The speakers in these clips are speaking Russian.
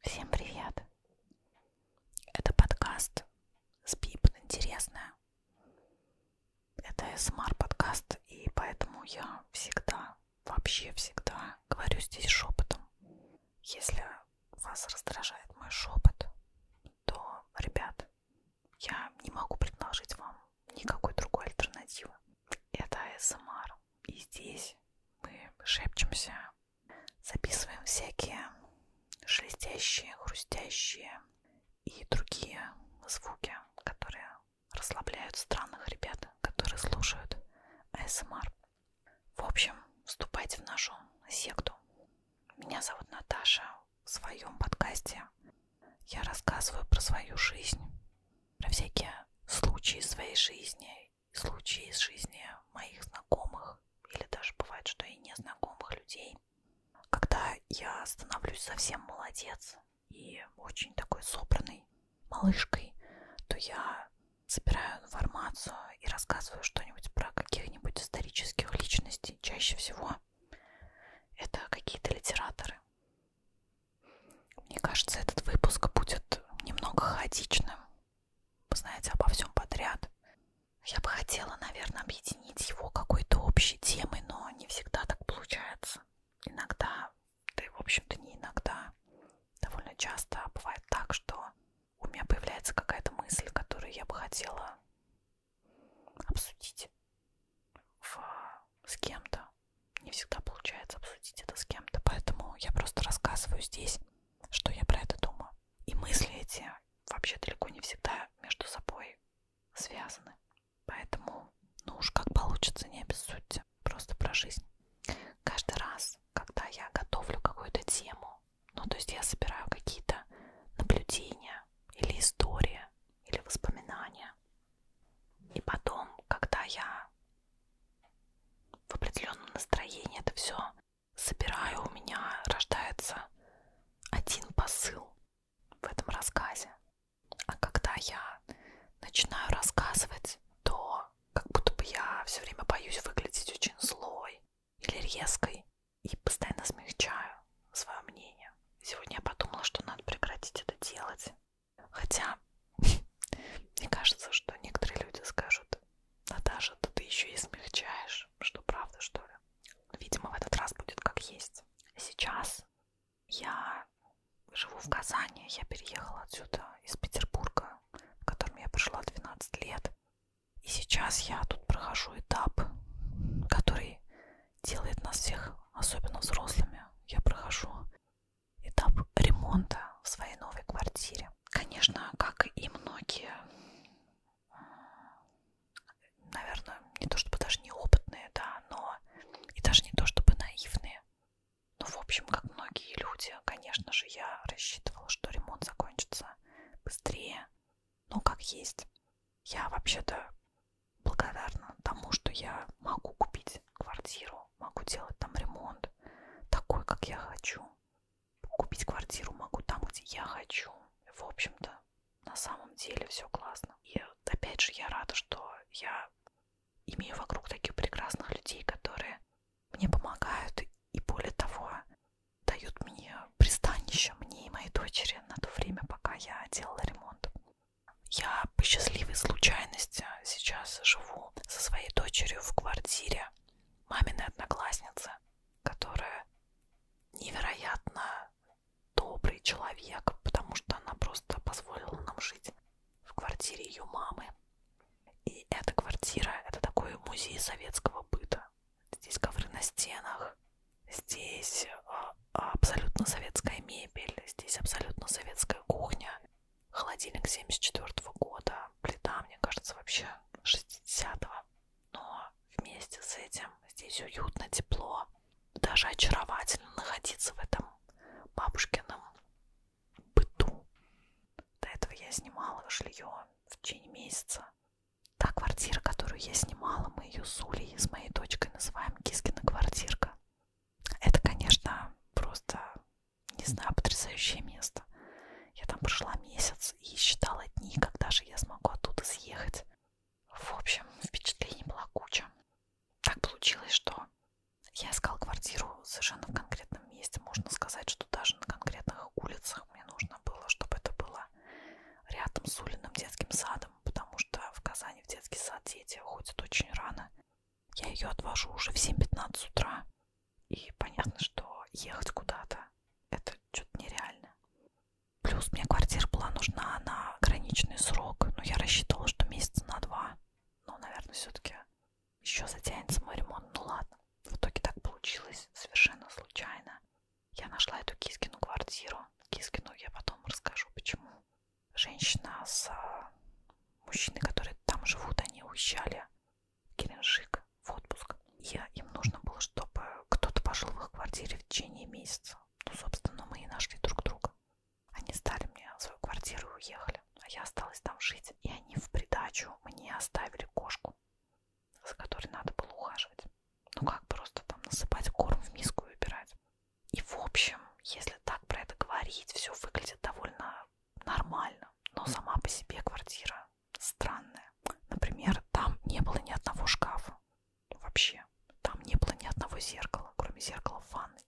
Всем привет! Это подкаст «Спип. Интересное». Это СМР-подкаст, и поэтому я всегда, вообще всегда говорю здесь шепотом. Если вас раздражает мой шепот, то, ребят, я не могу предложить вам никакой другой альтернативы. Это СМР. И здесь мы шепчемся Записываем всякие шелестящие, хрустящие и другие звуки, которые расслабляют странных ребят, которые слушают АСМР. В общем, вступайте в нашу секту. Меня зовут Наташа. В своем подкасте я рассказываю про свою жизнь, про всякие случаи своей жизни случаи из жизни моих знакомых, или даже бывает, что и незнакомых людей, когда я становлюсь совсем молодец и очень такой собранной малышкой, то я собираю информацию и рассказываю что-нибудь про каких-нибудь исторических личностей. Чаще всего это какие-то литераторы. Мне кажется, этот выпуск будет немного хаотичным, вы знаете, обо всем подряд. Я бы хотела, наверное, объединить его какой-то общей темой, но не всегда так получается. Иногда, да и в общем-то не иногда, довольно часто бывает так, что у меня появляется какая-то мысль, которую я бы хотела обсудить в... с кем-то. Не всегда получается обсудить обсудить это с кем-то, поэтому я просто рассказываю здесь, что я про это думаю. И мысли эти вообще далеко не всегда между собой связаны. Поэтому, ну уж как получится, не обессудьте. Просто про жизнь. Каждый раз, когда я готовлю какую-то тему, ну то есть я собираю какие-то наблюдения или истории, или воспоминания, и потом, когда я в определенном настроении это все собираю, у меня рождается один посыл в этом рассказе. А когда я начинаю рассказывать, то как будто бы я все время боюсь выглядеть очень злой или резкой и постоянно смягчаю свое мнение. Сегодня я подумала, что надо прекратить это делать. Хотя мне кажется, что некоторые люди скажут, Наташа, да ты еще и смягчаешь, что правда, что ли? Видимо, в этот раз будет как есть. Сейчас я живу в Казани, я переехала отсюда из Петербурга, в котором я прожила 12 лет. И сейчас я тут прохожу этап, который делает нас всех, особенно взрослыми. Я прохожу этап ремонта в своей новой квартире. Конечно, как и многие, наверное, не то чтобы даже неопытные, да, но и даже не то чтобы наивные. Ну, в общем, как многие люди, конечно же, я рассчитывала, что ремонт закончится быстрее, но как есть. Я вообще-то благодарна тому, что я могу купить снимать квартиру, могу делать там ремонт такой, как я хочу. Купить квартиру могу там, где я хочу. В общем-то, на самом деле все классно. И опять же, я рада, что я имею вокруг таких прекрасных людей, которые мне помогают и более того дают мне пристанище, мне и моей дочери на то время, пока я делала ремонт. Я по счастливой случайности сейчас живу маму со своей дочерью в квартире маминой одноклассницы, которая невероятно добрый человек, потому что она просто позволила нам жить в квартире ее мамы. И эта квартира — это такой музей советского быта. Здесь ковры на стенах, здесь а, абсолютно советская мебель, здесь абсолютно советская кухня. Холодильник 74 -го года, плита, мне кажется, вообще 60-го. Но вместе с этим здесь уютно, тепло. Даже очаровательно находиться в этом бабушкином быту. До этого я снимала жилье в течение месяца. Та квартира, которую я снимала, мы ее с Улей, с моей дочкой называем Кискина квартирка. Это, конечно, просто не знаю, потрясающее место. Я там прожила месяц и считала дни, когда же я смогу оттуда съехать. В общем, впечатлений была куча. Так получилось, что я искала квартиру совершенно в конкретном месте. Можно сказать, что даже на конкретных улицах мне нужно было, чтобы это было рядом с Улиным детским садом, потому что в Казани в детский сад дети ходят очень рано. Я ее отвожу уже в 7.15 утра. И понятно, что ехать куда-то это что-то нереально. Плюс мне квартира была нужна на ограниченный срок, но я рассчитывала, что месяца на два. Но, наверное, все-таки еще затянется мой ремонт. Ну ладно. В итоге так получилось совершенно случайно. Я нашла эту Кискину квартиру. Кискину я потом расскажу, почему. Женщина с а, мужчиной, которые там живут, они уезжали Геленджик в отпуск. Я, им нужно было, чтобы кто-то пожил в их квартире в течение месяца. Ну, собственно, мы и нашли друг друга. Они сдали мне свою квартиру и уехали, а я осталась там жить. И они в придачу мне оставили кошку, за которой надо было ухаживать. Ну как просто там насыпать корм в миску и убирать. И в общем, если так про это говорить, все выглядит довольно нормально, но сама по себе квартира странная. Например, там не было ни одного шкафа вообще. Там не было ни одного зеркала, кроме зеркала в ванной.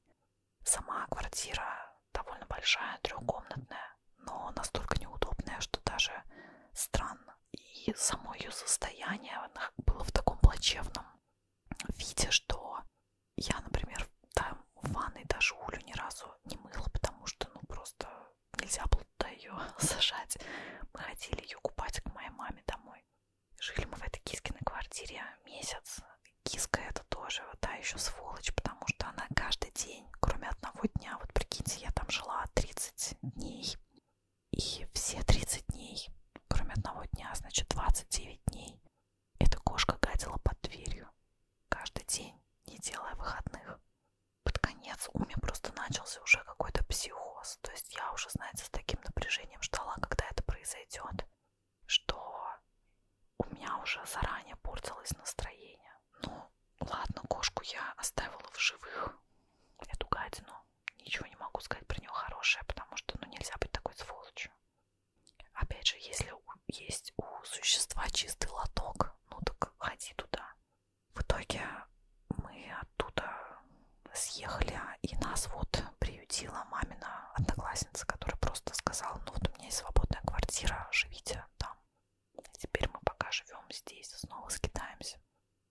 Сама квартира довольно большая, трехкомнатная, но настолько неудобная, что даже странно. И само ее состояние было в таком плачевном виде, что я, например, там в ванной даже улю ни разу не мыла, потому что, ну, просто нельзя было туда ее сажать. Мы ходили ее купать к моей маме домой. Жили мы в этой Кискиной квартире месяц. Киска это тоже, да, еще сволочь, потому что она каждый день, кроме одного дня, вот прикиньте, я там жила 30 дней. И все 30 дней, кроме одного дня, значит 29 дней, эта кошка гадила под дверью. Каждый день, не делая выходных. Под конец у меня просто начался уже какой-то психоз. То есть я уже, знаете, с таким напряжением ждала, когда это произойдет, что у меня уже заранее портилось настроение. Ну, ладно, кошку я оставила в живых. Эту гадину. Ничего не могу сказать про нее хорошее, потому что, ну, нельзя быть такой сволочью. Опять же, если у, есть у существа чистый лоток, ну так ходи туда. В итоге мы оттуда съехали, а, и нас вот приютила мамина одноклассница, которая просто сказала, ну вот у меня есть свободная квартира, живите там. А теперь мы пока живем здесь, снова скитаемся.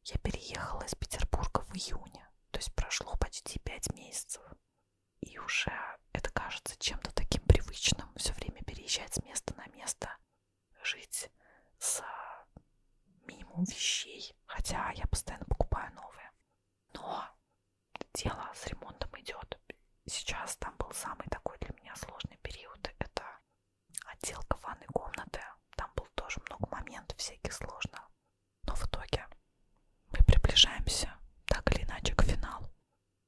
Я переехала из Петербурга в июне, то есть прошло почти пять месяцев и уже это кажется чем-то таким привычным, все время переезжать с места на место, жить за минимум вещей, хотя я постоянно покупаю новые. Но дело с ремонтом идет. Сейчас там был самый такой для меня сложный период. Это отделка ванной комнаты. Там было тоже много моментов всяких сложных. Но в итоге мы приближаемся так или иначе к финалу.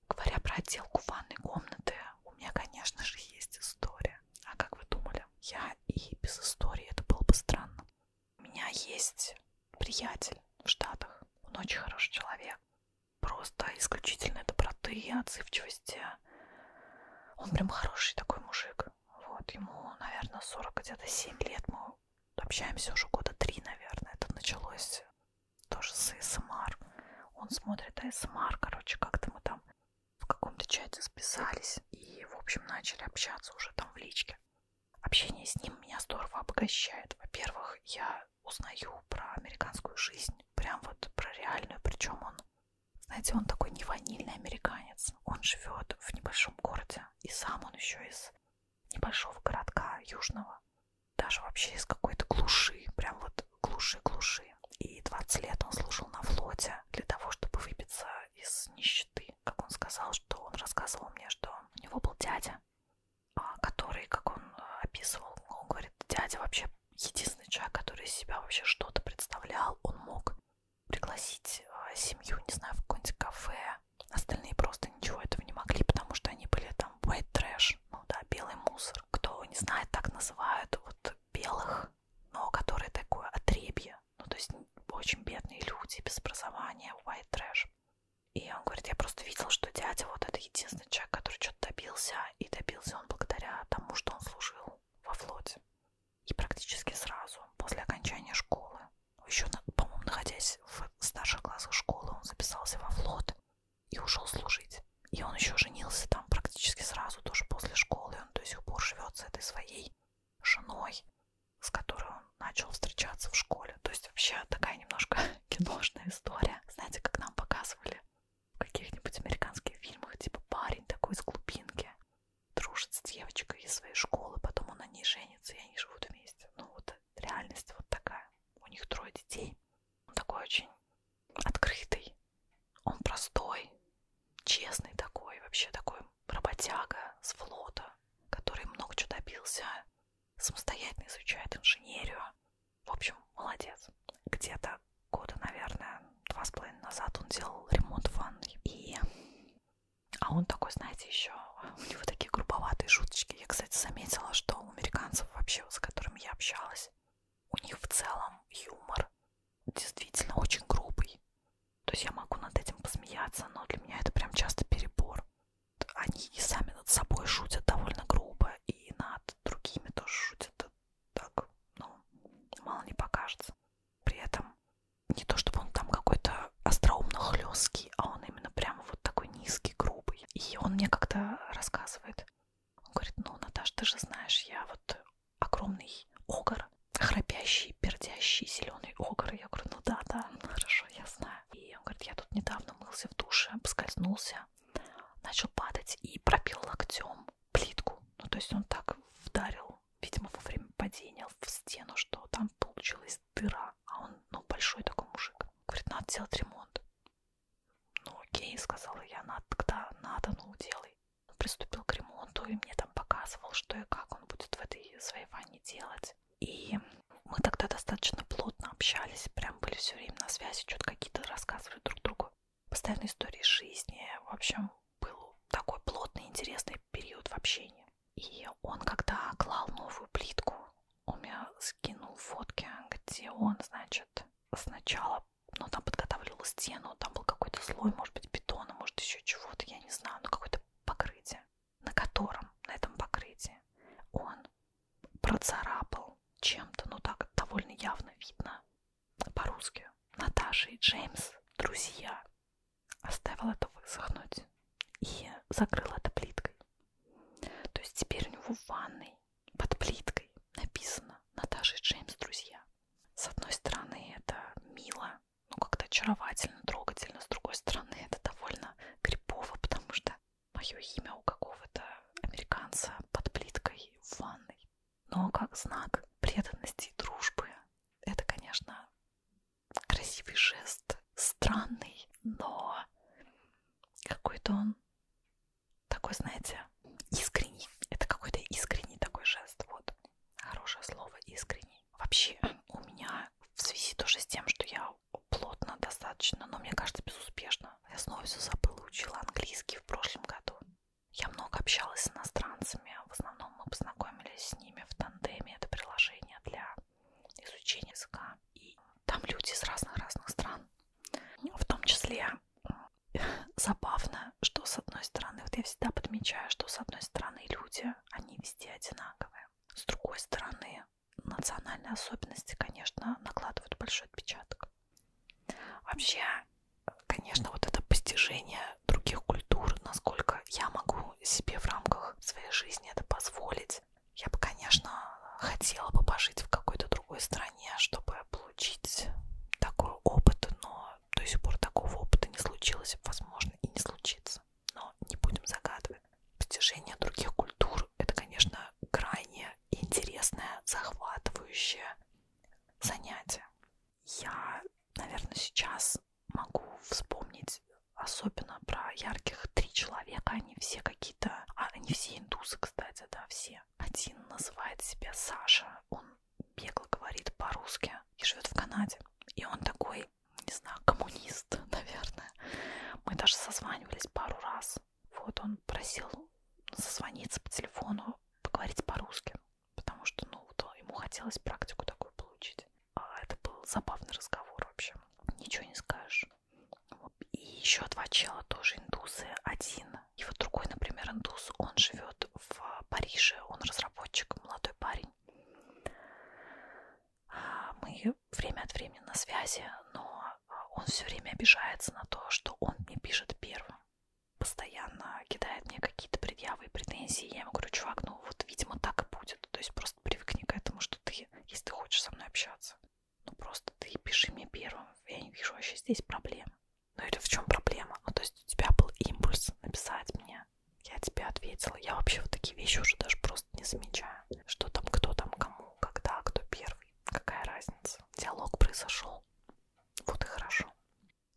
Говоря про отделку ванной комнаты, у меня, конечно же, есть история. А как вы думали? Я и без истории, это было бы странно. У меня есть приятель в Штатах, он очень хороший человек. Просто исключительной доброты и отзывчивости. Он прям хороший такой мужик. Вот, ему, наверное, 40 где-то 7 лет. Мы общаемся уже года 3, наверное. Это началось тоже с АСМР. Он смотрит АСМР, короче, как-то мы там в каком-то чате списались и, в общем, начали общаться уже там в личке. Общение с ним меня здорово обогащает. Во-первых, я узнаю про американскую жизнь, прям вот про реальную, причем он знаете, он такой не ванильный американец. Он живет в небольшом городе. И сам он еще из небольшого городка южного, даже вообще из какой-то глуши, прям вот глуши-глуши. И 20 лет он служил на флоте для того, чтобы выбиться из нищеты. Как он сказал, что он рассказывал мне, что у него был дядя, а, который, как он э, описывал, он говорит, дядя вообще единственный человек, который из себя вообще что-то представлял, он мог пригласить э, семью, не знаю, в какое-нибудь кафе. Остальные просто ничего этого не могли, потому что они были там white trash, ну да, белый мусор. Кто не знает, так называют вот белых, но которые такое отребье, ну то есть очень бедные люди, без образования, white trash. И он говорит, я просто видел, что дядя вот это единственный человек, который что-то добился, и добился он благодаря тому, что он служил во флоте. И практически сразу, после окончания школы, еще, по-моему, находясь в старших классах школы, он записался во флот и ушел служить. И он еще женился там практически сразу, тоже после школы. Он до сих пор живет с этой своей женой, с которой он начал встречаться в школе. То есть вообще такая немножко киношная история. Знаете, как нам показывали в каких-нибудь американских фильмах, типа парень такой из глубинки, дружит с девочкой из своей школы, потом он на ней женится, и они живут вместе. Ну вот реальность вот такая. У них трое детей. Он такой очень открытый, он простой, честный такой, вообще такой работяга с флота, который много чего добился, самостоятельно изучает инженерию. В общем, молодец. Где-то года, наверное, два с половиной назад он делал ремонт в ванной. И... А он такой, знаете, еще у него такие грубоватые шуточки. Я, кстати, заметила, что у американцев вообще, с которыми я общалась, у них в целом юмор действительно очень грубый. То есть я могу над этим посмеяться, но для меня это прям часто перебор. Они и сами над собой шутят довольно грубо, и над другими тоже шутят э, так, ну, мало не покажется. При этом не то, чтобы он там какой-то остроумно хлесткий, а он именно прям вот такой низкий, грубый. И он мне как-то рассказывает. Он говорит, ну, Наташа, ты же знаешь, я вот огромный огр, храпящий, пердящий, зеленый огр. Я говорю, ну да, да, хорошо, я знаю. И он говорит, я тут недавно мылся в душе, поскользнулся, начал падать и пробил локтем плитку. Ну, то есть он так вдарил, видимо, во время падения в стену, что там получилась дыра. А он, ну, большой такой мужик. Говорит, надо «Ну, делать ремонт. Ну окей, сказала я, надо, тогда надо, ну делай. Он ну, приступил к ремонту и мне там показывал, что и как он будет в этой своей ванне делать. И мы тогда достаточно плотно общались, прям были все время на связи, что-то какие-то рассказывали друг другу. Постоянные истории жизни, в общем, был такой плотный, интересный период в общении. И он, когда клал новую плитку, он мне скинул фотки, где он, значит, сначала, ну, там подготовил стену, там был какой-то слой, может быть, бетона, может, еще чего-то, я не знаю, но ну, какое-то покрытие, на котором, на этом покрытии, он процарапал чем-то, ну, так довольно явно видно по-русски. Наташа и Джеймс, друзья, оставил это высохнуть и закрыл это плиткой. То есть теперь у него в ванной под плиткой написано Наташа и Джеймс друзья. С одной стороны, это мило, ну как-то очаровательно, трогательно. С другой стороны, это довольно крипово, потому что мое имя у какого-то американца под плиткой в ванной. Но как знак преданности и дружбы, это, конечно, красивый жест, странный, но какой-то он такой, знаете, искренний. Это какой-то искренний такой жест. Вот. Хорошее слово искренний. Вообще у меня в связи тоже с тем, что я плотно достаточно, но мне кажется безуспешно. Я снова все забыла, учила английский в прошлом году. Я много общалась с иностранцами, в основном мы познакомились с ними в тандеме, это приложение для изучение языка. И там люди из разных-разных стран. В том числе забавно, что с одной стороны, вот я всегда подмечаю, что с одной стороны люди, они везде одинаковые. С другой стороны, национальные особенности, конечно, накладывают большой отпечаток. Вообще, конечно, вот это постижение других культур, насколько я могу себе в рамках своей жизни это позволить, есть я бы, конечно, хотела бы пожить в какой-то другой стране, чтобы получить такой опыт, но до сих пор такого опыта не случилось, возможно, и не случится. Но не будем загадывать. Постижение других культур — это, конечно, крайне интересное, захватывающее занятие. Я, наверное, сейчас могу вспомнить особенно про ярких три человека, они все какие какие-то... А, они все индусы, кстати, да, все. Один называет себя Саша, он бегло говорит по-русски и живет в Канаде. И он такой, не знаю, коммунист, наверное. Мы даже созванивались пару раз. Вот он просил созвониться по телефону, поговорить по-русски, потому что, ну, то ему хотелось практику такую получить. А это был забавный разговор вообще. Ничего не скажешь. И еще два чела тоже индусы. Один, и вот другой, например, индус, он живет в Париже, он разработчик, молодой парень. А, мы время от времени на связи, но а, он все время обижается на то, что он мне пишет первым. Постоянно кидает мне какие-то предъявы и претензии. Я ему говорю, чувак, ну вот, видимо, так и будет. То есть просто привыкни к этому, что ты, если ты хочешь со мной общаться, ну просто ты пиши мне первым. Я не вижу вообще здесь проблемы. Ну или в чем проблема? Ну то есть у тебя был импульс написать мне. Я тебе ответила. Я вообще вот такие вещи уже даже просто не замечаю. Что там, кто там, кому, когда, кто первый. Какая разница? Диалог произошел. Вот и хорошо.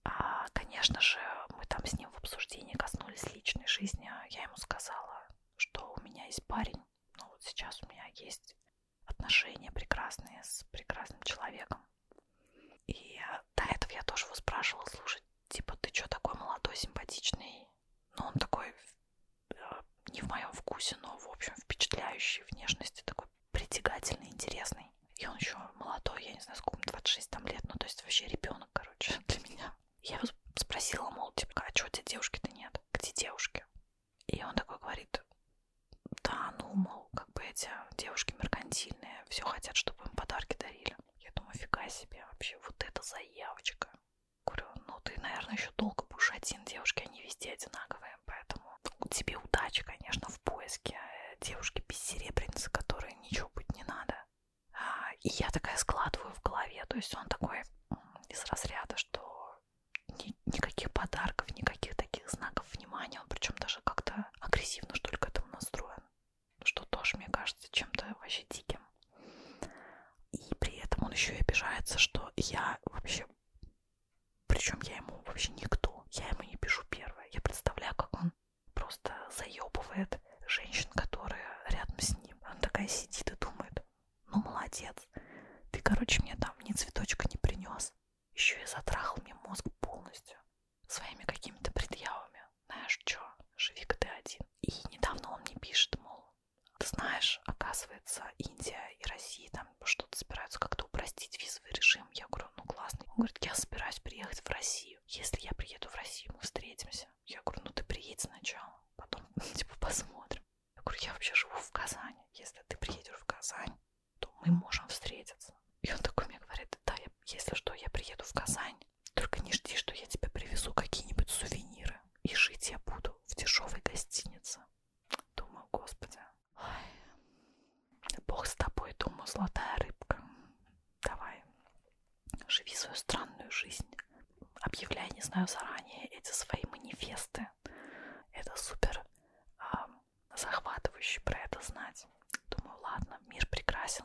А, конечно же, мы там с ним в обсуждении коснулись личной жизни. Я ему сказала, что у меня есть парень, ну вот сейчас у меня есть отношения прекрасные с прекрасным человеком. И до этого я тоже его спрашивала, слушай, типа, ты что такой молодой, симпатичный? Ну, он такой э, не в моем вкусе, но, в общем, впечатляющий внешности, такой притягательный, интересный. И он еще молодой, я не знаю, сколько, 26 там лет, ну, то есть вообще ребенок, короче, для меня. Я его спросила, мол, типа, а что у тебя девушки-то нет? Где девушки? И он такой говорит, да, ну, мол, как бы эти девушки меркантильные, все хотят, чтобы им подарки дарили. Я думаю, фига себе, вообще, вот это заявочка. Говорю, ну, ты, наверное, еще долго будешь один, девушки, они везде одинаковые, поэтому тебе удачи, конечно, в поиске э, девушки без серебряницы, которой ничего быть не надо. А, и я такая складываю в голове, то есть он такой из разряда, что ни никаких подарков, никаких таких знаков внимания, он причем даже как-то агрессивно, что ли, к этому настроен, что тоже, мне кажется, чем-то вообще диким. И при этом он еще и обижается, что я вообще, причем я ему вообще никто, я ему не пишу первое. Я представляю, как он просто заебывает женщин, которые рядом с ним. Он такая сидит и думает, ну, молодец. Ты, короче, мне там ни цветочка не принес. Еще и затрахал мне мозг полностью. Своими какими-то предъявами. Знаешь, что? Живи-ка ты один. И недавно он мне пишет, мол, ты знаешь, оказывается, Индия и Россия там что-то собираются как-то упростить визовый режим. Я говорю, ну классно. Он говорит, я собираюсь приехать в Россию. Если я приеду в Россию, мы встретимся. Я говорю, ну ты приедь сначала, потом типа посмотрим. Я говорю, я вообще живу в Казани. Если ты приедешь в Казань, то мы можем встретиться. И он такой мне говорит, да, я, если что, я приеду в Казань. Только не жди, что я тебе привезу какие-нибудь сувениры. И жить я буду в дешевой гостинице. Думаю, господи. Ой, бог с тобой, думаю, золотая рыбка. Давай, живи свою странную жизнь объявляя, не знаю, заранее эти свои манифесты. Это супер э, захватывающе про это знать. Думаю, ладно, мир прекрасен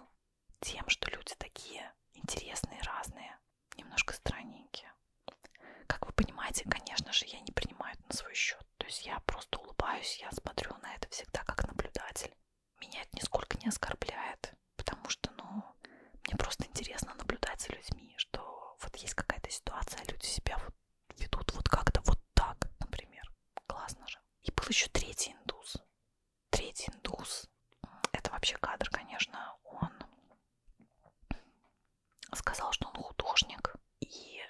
тем, что люди такие интересные, разные, немножко странненькие. Как вы понимаете, конечно же, я не принимаю это на свой счет. То есть я просто улыбаюсь, я смотрю на это всегда как наблюдатель. Меня это нисколько не оскорбляет, потому что, ну, мне просто интересно наблюдать за людьми, что вот есть какая-то ситуация, люди себя вот ведут вот как-то вот так, например. Классно же. И был еще третий индус. Третий индус. Это вообще кадр, конечно. Он сказал, что он художник и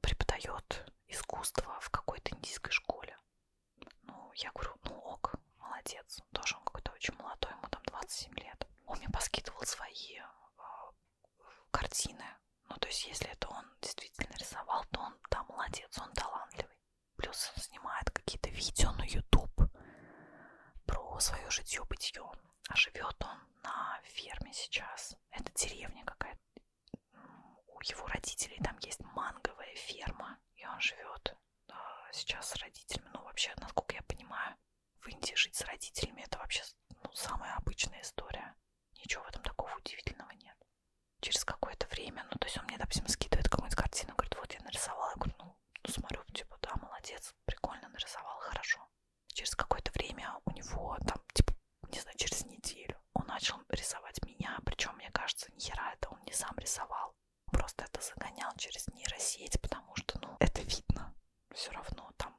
преподает искусство в какой-то индийской школе. Ну, я говорю, ну ок, молодец он тоже он какой-то очень молодой, ему там 27 лет. Он мне поскидывал свои э, картины. Ну, то есть, если это он действительно рисовал, то он там да, молодец, он талантливый. Плюс он снимает какие-то видео на YouTube про свое житье-бытье. А живет он на ферме сейчас. Это деревня какая-то. У его родителей там есть манговая ферма, и он живет э, сейчас с родителями. Ну, вообще, насколько я понимаю, в Индии жить с родителями – это вообще ну, самая обычная история. Ничего в этом такого удивительного нет. Через какое-то время, ну, то есть он мне, допустим, скидывает какую-нибудь картину, говорит, вот я нарисовала. Я говорю, ну, ну смотрю, типа, да, молодец, прикольно нарисовал, хорошо. Через какое-то время у него там, типа, не знаю, через неделю он начал рисовать меня, причем, мне кажется, ни хера это он не сам рисовал. Просто это загонял через нейросеть, потому что, ну, это видно все равно там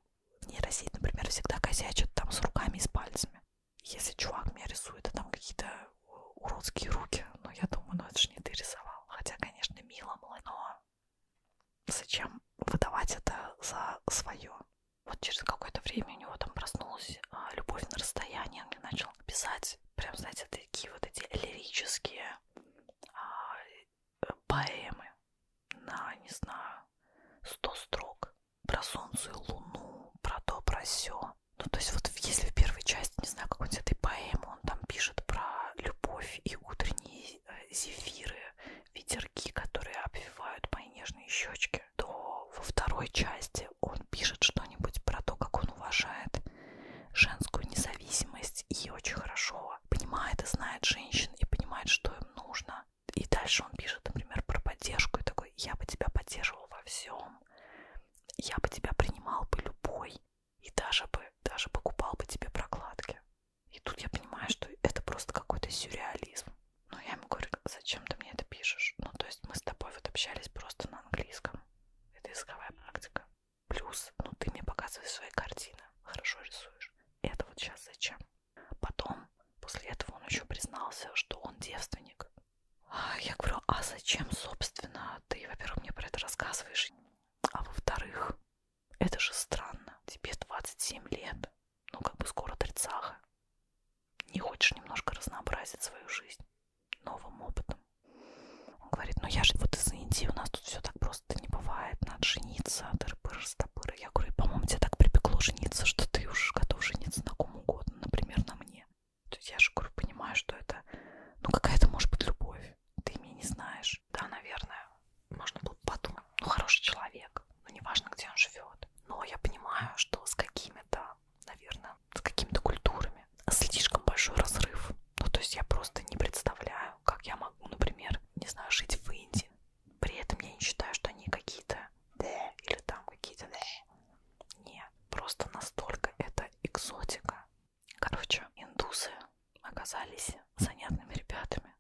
нейросеть, например, всегда косячит там с руками и с пальцами. Если чувак меня рисует, а там какие-то э, уродские руки, ну я думаю, ну это же не ты рисовал. Хотя, конечно, мило было, но зачем выдавать это за свое? Вот через какое-то время у него там проснулась а, любовь на расстоянии, он мне начал писать, прям, знаете, такие вот эти лирические а, поэмы на, не знаю, сто строк про солнце и луну, про то, про сё. Ну, то есть вот если в первой части, не знаю, какой-нибудь этой поэмы, он там пишет про любовь и утренние э, зефиры, ветерки, которые обвивают мои нежные щечки, то во второй части он пишет что-нибудь про то, как он уважает женскую независимость и очень хорошо все понимает и знает женщин и понимает, что им нужно. И дальше он пишет, например, про поддержку и такой, я бы тебя поддерживал во всем, я бы тебя принимал бы любой и даже бы, даже покупал бы тебе прокладки. И тут я понимаю, что это просто какой-то сюрреализм. Но ну, я ему говорю, зачем ты мне это пишешь? Ну, то есть мы с тобой вот общались просто на английском. Это языковая практика. Плюс, ну ты мне показываешь свои картины, хорошо рисуешь. Это вот сейчас зачем? Потом, после этого он еще признался, что он девственник. А, я говорю, а зачем, собственно, ты, во-первых, мне про это рассказываешь, а во-вторых, это же странно, тебе 27 лет, ну как бы скоро тридцаха. Не хочешь немножко разнообразить свою жизнь новым опытом? Он говорит, ну я же вот из Индии, у нас тут все так просто просто не бывает, надо жениться, тыры-пыры, стопыры. Я говорю, по-моему, тебе так припекло жениться, что ты уж готов жениться на ком угодно, например, на мне. То есть я же, говорю, понимаю, что это, ну, какая-то может быть любовь, ты меня не знаешь. Да, наверное, можно было подумать, ну, хороший человек, ну, неважно, где он живет. Но я понимаю, что с какими-то, наверное, с какими-то культурами слишком большой разрыв. Ну, то есть я просто не представляю, как я могу, например, не знаю, жить в Индии. При этом я не считаю, что они какие-то да или там какие-то да. Нет, просто настолько это экзотика. Короче, индусы оказались занятными ребятами.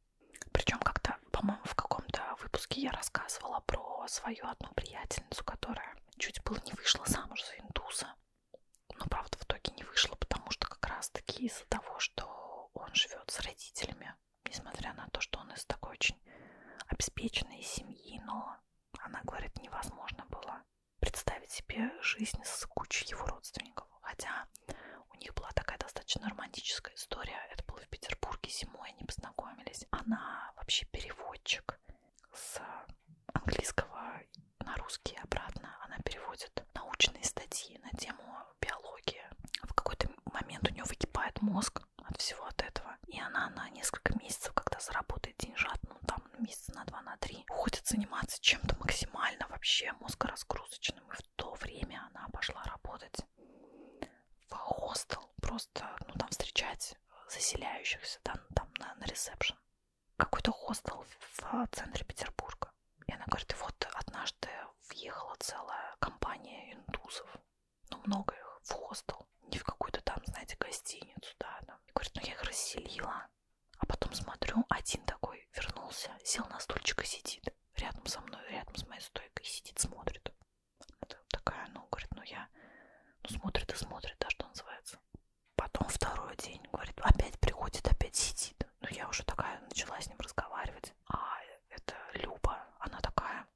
Причем как-то, по-моему, в каком-то выпуске я рассказывала про свою одну приятельницу, которая чуть было не вышла замуж за индуса но ну, правда в итоге не вышло, потому что как раз-таки из-за того, что он живет с родителями, несмотря на то, что он из такой очень обеспеченной семьи, но она говорит, невозможно было представить себе жизнь с кучей его родственников. Хотя у них была такая достаточно романтическая история. Это было в Петербурге зимой, они познакомились. Она вообще переводчик с английского на русский обратно, она переводит научные статьи на тему биологии. В какой-то момент у нее выкипает мозг от всего от этого. И она на несколько месяцев, когда заработает деньжат, ну там месяца на два, на три, уходит заниматься чем-то максимально вообще мозгоразгрузочным. И в то время она пошла работать в хостел, просто, ну там встречать заселяющихся, да, ну, там на, на ресепшн какой-то хостел в центре Петербурга. И она говорит, и вот однажды въехала целая компания индусов, ну много их, в хостел, не в какую-то там, знаете, гостиницу, да, там. И говорит, ну я их расселила, а потом смотрю, один такой вернулся, сел на стульчик и сидит рядом со мной, рядом с моей стойкой, сидит, смотрит. Это такая, ну, говорит, ну я, ну смотрит и смотрит, да, что называется. Потом второй день, говорит, опять приходит, опять сидит говорит. Ну, я уже такая начала с ним разговаривать. А это Люба, она такая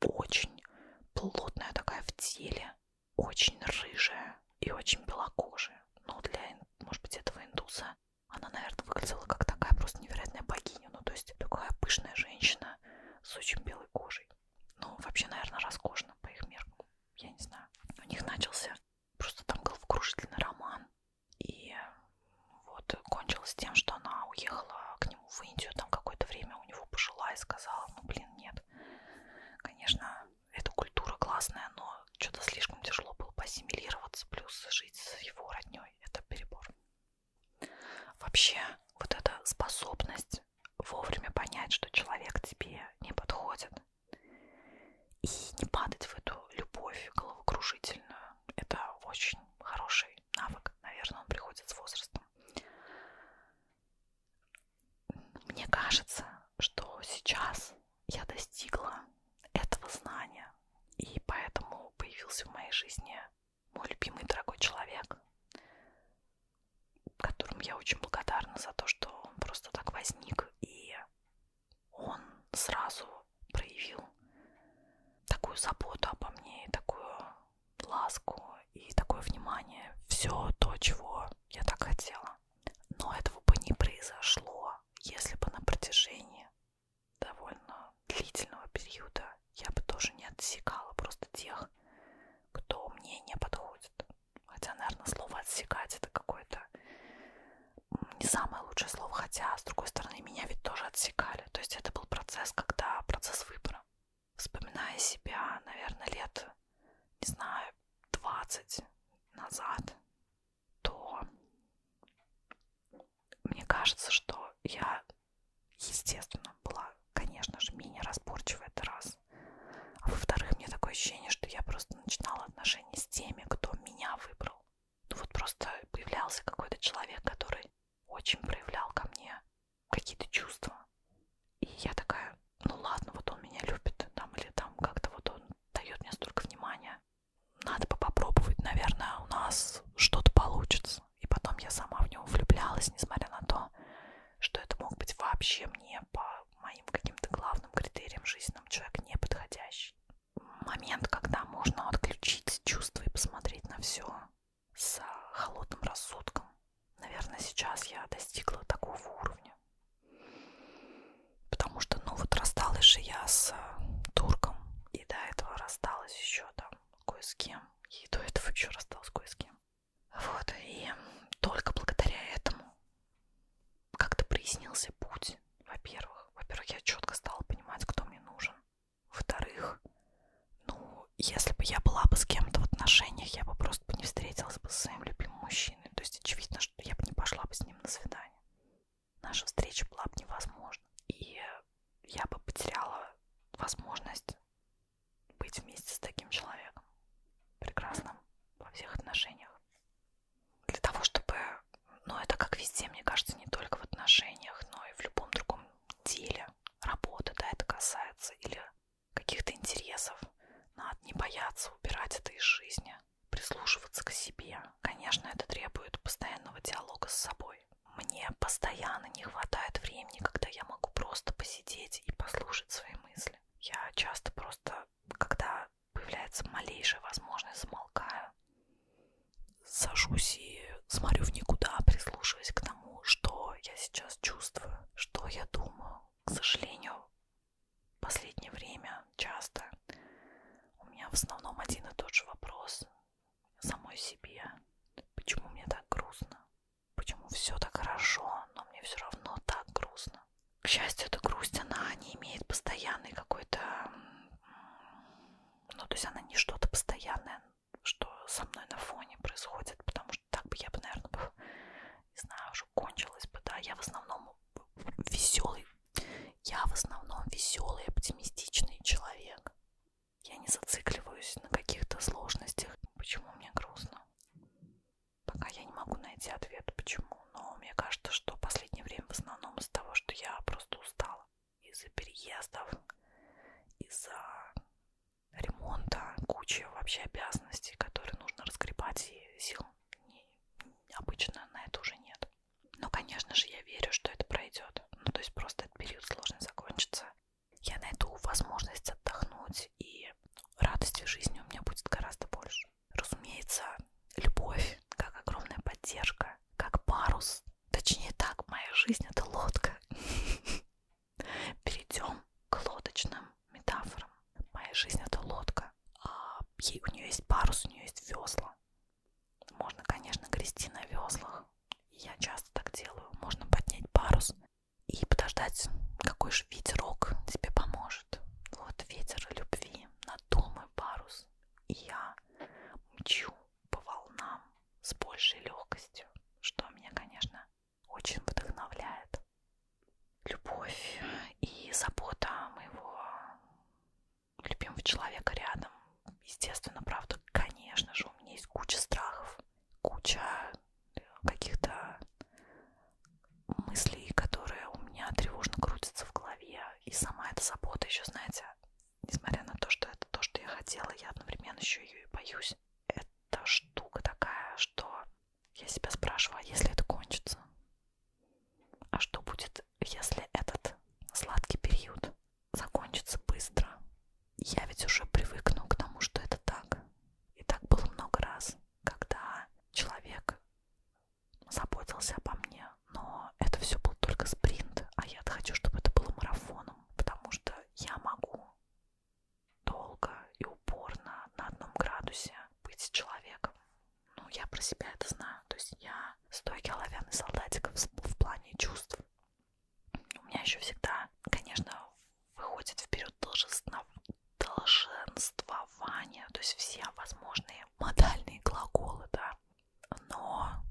очень плотная такая в теле, очень рыжая и очень белокожая. Но ну, для, может быть, этого индуса она, наверное, выглядела как такая просто невероятная богиня. Ну, то есть такая пышная женщина с очень белой кожей. Ну, вообще, наверное, роскошно по их меркам. Я не знаю. У них начался Просто там головокружительный роман. И вот кончилось тем, что она уехала к нему в Индию, там какое-то время у него пожила и сказала, ну блин, нет, конечно, эта культура классная, но что-то слишком тяжело было посимилироваться, плюс жить с его родней, это перебор. Вообще, вот эта способность вовремя понять, что человек тебе не подходит, и не падать в эту любовь головокружительную. Это очень хороший навык, наверное, он приходит с возрастом. Мне кажется, что сейчас я достигла этого знания, и поэтому появился в моей жизни мой любимый дорогой человек, которому я очень благодарна за то, что он просто так возник и он сразу проявил такую заботу обо мне, такую ласку и такое внимание. Все то, чего я так хотела. Но этого бы не произошло, если бы на протяжении довольно длительного периода я бы тоже не отсекала просто тех, кто мне не подходит. Хотя, наверное, слово отсекать это какой-то не самое лучшее слово, хотя, с другой стороны, меня ведь тоже отсекали. То есть это был процесс, когда процесс выбора. Вспоминая себя, наверное, лет, не знаю, 20 назад, то мне кажется, что я, естественно, была, конечно же, менее разборчива это раз. А во-вторых, мне такое ощущение, что я просто просто начинала отношения с теми, кто меня выбрал. Ну вот просто появлялся какой-то человек, который очень проявлял ко мне какие-то чувства. И я такая, ну ладно, вот он меня любит, там, или там как-то вот он дает мне столько внимания. Надо бы попробовать, наверное, у нас что-то получится. И потом я сама в него влюблялась, несмотря на то, что это мог быть вообще мне по моим каким-то главным критериям жизненным человек неподходящий момент, когда можно отключить чувства и посмотреть на все с холодным рассудком. Наверное, сейчас я достигла такого уровня. Потому что, ну вот рассталась же я с турком, и до этого рассталась еще там кое с кем, и до этого еще рассталась кое с кем. Вот, и только благодаря этому как-то прояснился путь, во-первых. Во-первых, я четко стала понимать, кто мне нужен. Во-вторых, ну, если бы я была бы с кем-то в отношениях, я бы просто не встретилась бы с своим любимым мужчиной. То есть, очевидно, что я бы не пошла бы с ним на свидание. Наша встреча была бы невозможна. И я бы потеряла возможность быть вместе с таким человеком. Прекрасным во всех отношениях для того, чтобы, ну это как везде, мне кажется, не только в отношениях, но и в любом другом деле, работа, да, это касается, или каких-то интересов, надо не бояться убирать это из жизни, прислушиваться к себе. Конечно, это требует постоянного диалога с собой. Мне постоянно не хватает времени, когда я могу просто посидеть и послушать свои мысли. Я часто просто, когда появляется малейшая возможность, замолкаю, сажусь и смотрю в никуда, прислушиваясь к тому, что я сейчас чувствую, что я думаю. К сожалению, в последнее время часто у меня в основном один и тот же вопрос самой себе. Почему мне так грустно? Почему все так хорошо, но мне все равно так грустно? К счастью, эта грусть, она не имеет постоянной какой-то... Ну, то есть она не что-то постоянное, что со мной на фоне происходит, потому что так бы я бы, наверное, бы, не знаю, уже кончилась бы, да. Я в основном веселый, я в основном веселый, оптимистичный человек. Я не зацикливаюсь на каких-то сложностях. Почему мне грустно? Пока я не могу найти ответ, почему но мне кажется, что в последнее время в основном из того, что я просто устала из-за переездов, из-за ремонта, куча вообще обязанностей, которые нужно разгребать, и сил не, обычно на это уже нет. Но, конечно же, я верю, что это пройдет. Ну, то есть просто этот период сложно закончится. Я найду возможность отдохнуть, и радости в жизни у меня будет гораздо больше людей. Разумеется, любовь, как огромная поддержка, как парус. Точнее так, моя жизнь — это лодка. Перейдем к лодочным метафорам. Моя жизнь — это лодка. А ей, у нее есть парус, у нее есть весла. Можно, конечно, грести на веслах. Я часто так делаю. Можно поднять парус и подождать, какой же ветерок тебе поможет пишет. Ну, вот ветер любви, надул мой парус, и я мчу по волнам с большей легкостью, что меня, конечно, очень вдохновляет. Любовь и забота моего любимого человека рядом. Естественно, правда, конечно же, у меня есть куча страхов, куча каких-то мыслей, которые у меня тревожно крутятся в голове. И сама эта забота еще, знаете, несмотря на то, что это то, что я хотела, я одновременно еще ее и боюсь. Это штука такая, что я себя спрашиваю, а если это кончится? А что будет, если этот сладкий период закончится быстро? Я ведь уже привыкну к тому, что это так. И так было много раз, когда человек заботился обо мне, но это все был только спринт, а я хочу, чтобы это было марафоном, потому что я могу долго и упорно на одном градусе быть человеком. Ну, я про себя это знаю, то есть я стойкий оловянный солдатик в, в плане чувств. У меня еще всегда, конечно, выходит вперед должностно, долженствование, то есть все возможные модальные глаголы, да. Но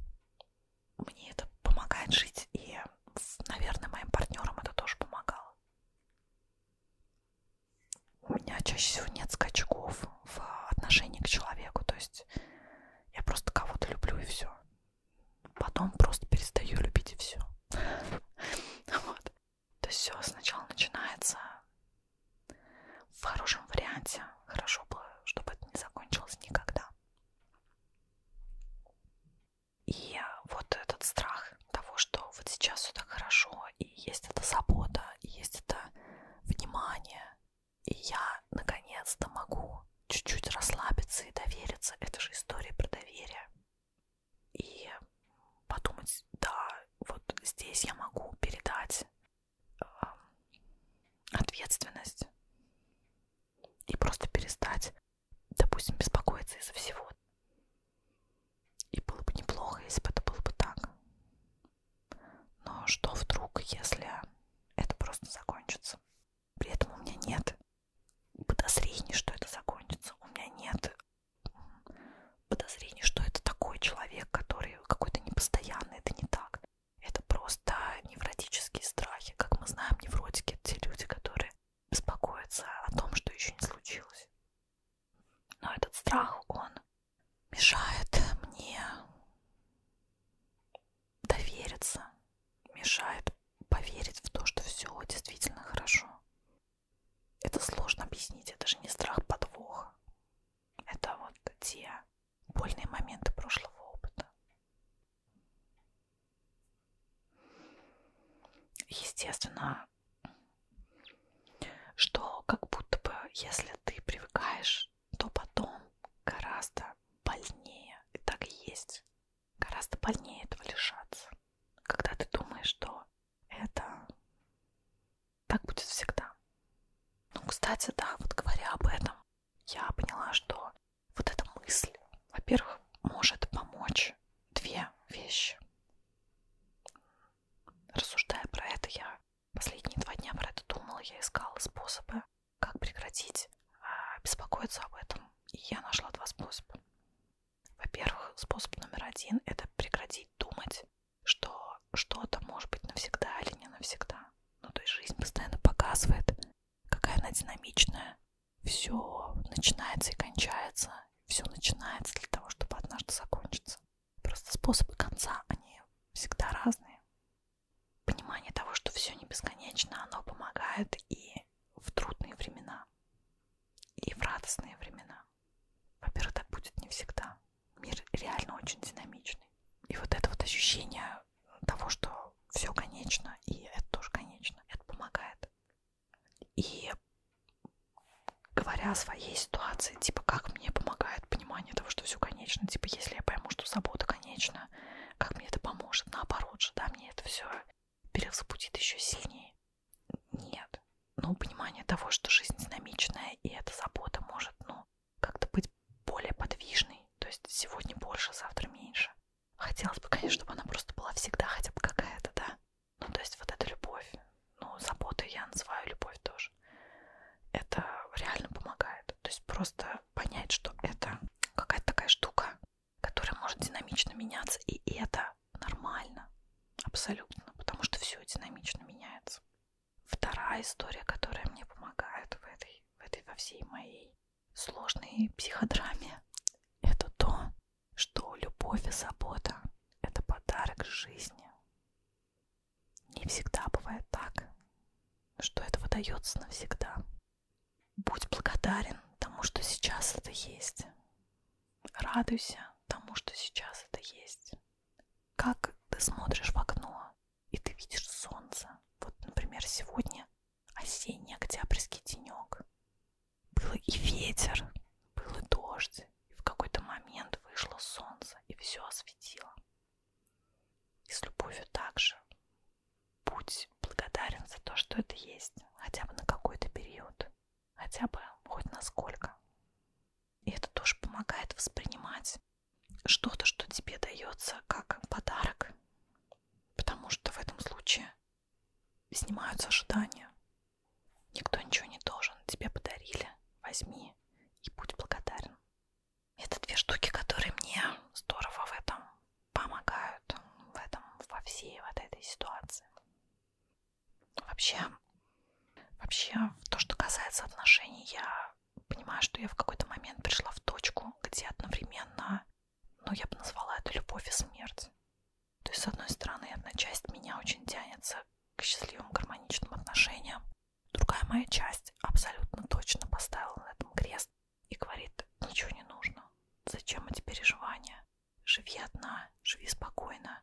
мне это помогает жить, и, наверное, моим партнерам это тоже помогало. У меня чаще всего нет скачков в отношении к человеку, то есть я просто кого-то люблю и все. Потом просто перестаю любить и все. Вот. То есть все сначала начинается в хорошем варианте. Хорошо было, чтобы это не закончилось никогда. И вот этот страх того, что вот сейчас все так хорошо, и есть эта забота, и есть это внимание, и я наконец-то могу чуть-чуть расслабиться и довериться. Это же история про доверие. И подумать, да, вот здесь я могу передать э, ответственность и просто перестать, допустим, беспокоиться из-за всего. И было бы неплохо, если бы это было бы так. Но что вдруг, если это просто закончится? При этом у меня нет подозрений, что это закончится. У меня нет подозрений, что это такой человек, который какой-то непостоянный, это не так. Это просто невротические страхи. Как мы знаем, невротики это те люди, которые беспокоятся о том, что еще не случилось. Но этот страх, он мешает мне довериться, мешает поверить в то, что все действительно хорошо. Это сложно объяснить, это же не страх подвоха. Это вот те больные моменты прошлого опыта. Естественно, что как будто бы, если ты привыкаешь, то потом гораздо больнее, и так и есть, гораздо больнее этого лишаться. Когда ты думаешь, что это так будет всегда. Ну, кстати, да, вот говоря об этом, я поняла, что вот эта мысль, во-первых, может помочь две вещи. Рассуждая про это, я последние два дня про это думала, я искала способы, как прекратить а, беспокоиться об этом. И я нашла два способа. Во-первых, способ номер один — это прекратить думать что что-то может быть навсегда или не навсегда. Ну, то есть жизнь постоянно показывает, какая она динамичная. Все начинается и кончается. Все начинается для того, чтобы однажды закончиться. Просто способы конца, они всегда разные. Понимание того, что все не бесконечно, оно помогает и в трудные времена, и в радостные времена. Во-первых, так будет не всегда. Мир реально очень динамичный. И вот это вот ощущение того, что все конечно, и это тоже конечно, это помогает. И говоря о своей ситуации, типа, как мне помогает понимание того, что все конечно, типа, если я пойму, что забота конечна, как мне это поможет, наоборот же, да, мне это все перевзбудит еще сильнее. Нет, ну, понимание того, что жизнь динамичная, и эта забота может, ну, как-то быть более подвижной. То есть сегодня больше, завтра меньше. Хотелось бы, конечно, чтобы она просто была всегда хотя бы какая-то, да. Ну, то есть вот эта любовь, ну, заботу я называю любовь тоже. Это реально помогает. То есть просто понять, что это какая-то такая штука, которая может динамично меняться, и это нормально абсолютно, потому что все динамично меняется. Вторая история, которая мне помогает в этой, в этой во всей моей сложной психодраме, это то, что любовь и забота – это подарок жизни. Не всегда бывает так, что это выдается навсегда. Будь благодарен тому, что сейчас это есть. Радуйся тому, что сейчас это есть как ты смотришь в окно, и ты видишь солнце. Вот, например, сегодня осенний октябрьский денек. Был и ветер, был и дождь, и в какой-то момент вышло солнце, и все осветило. И с любовью также. Будь благодарен за то, что это есть, хотя бы на какой-то период хотя бы хоть насколько. И это тоже помогает воспринимать что-то, что тебе дается как подарок, потому что в этом случае снимаются ожидания. Никто ничего не должен, тебе подарили, возьми и будь благодарен. Это две штуки, которые мне здорово в этом помогают, в этом, во всей вот этой ситуации. Вообще, вообще, то, что касается отношений, я понимаю, что я в какой-то момент пришла в точку, где одновременно, ну, я бы назвала это любовь и смерть. То есть, с одной стороны, одна часть меня очень тянется к счастливым гармоничным отношениям, другая моя часть абсолютно точно поставила на этом крест и говорит, ничего не нужно, зачем эти переживания, живи одна, живи спокойно,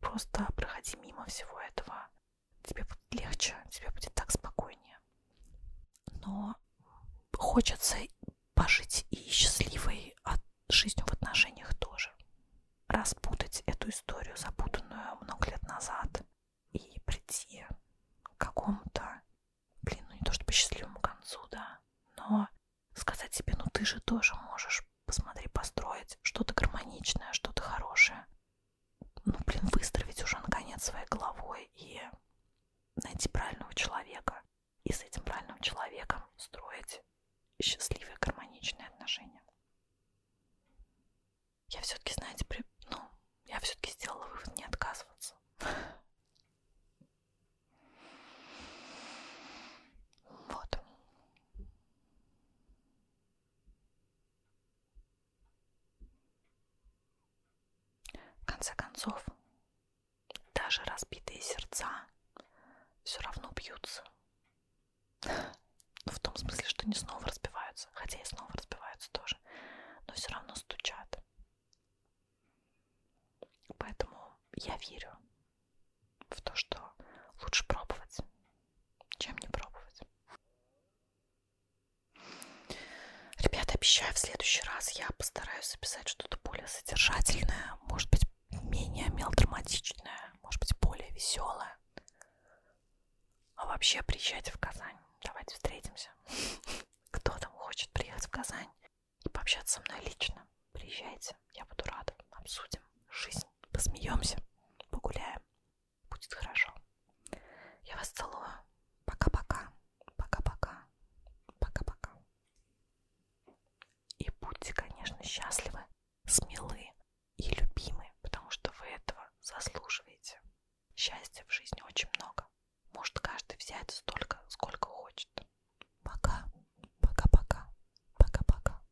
Просто проходи мимо всего этого. Тебе будет легче, тебе будет так спокойнее. Но хочется пожить и счастливой от жизнью в отношениях тоже. Распутать эту историю, запутанную много лет назад, и прийти к какому-то, блин, ну не то чтобы счастливому концу, да, но сказать себе, ну ты же тоже можешь Посмотри, построить что-то гармоничное, что-то хорошее. Ну, блин, выстроить уже, наконец, своей головой и найти правильного человека. И с этим правильным человеком строить счастливые, гармоничные отношения. Я все-таки, знаете, при... ну, я все-таки сделала вывод не отказываться. Вот. В конце концов, даже разбитые сердца все равно бьются. Ну, в том смысле, что не снова разбиваются, хотя и снова разбиваются тоже, но все равно стучат. Поэтому я верю в то, что лучше пробовать, чем не пробовать. Ребята, обещаю, в следующий раз я постараюсь записать что-то более содержательное, может быть, менее мелодраматичное, может быть, более веселое. А вообще приезжайте в Казань. Давайте встретимся. Кто там хочет приехать в Казань и пообщаться со мной лично, приезжайте. Приходите, я буду рада. Обсудим жизнь, посмеемся, погуляем. Будет хорошо. Я вас целую. Пока-пока. Пока-пока. Пока-пока. И будьте, конечно, счастливы, смелы и любимы, потому что вы этого заслуживаете. Счастья в жизни очень много. Может каждый взять столько, сколько хочет. Пока. Пока-пока. Пока-пока.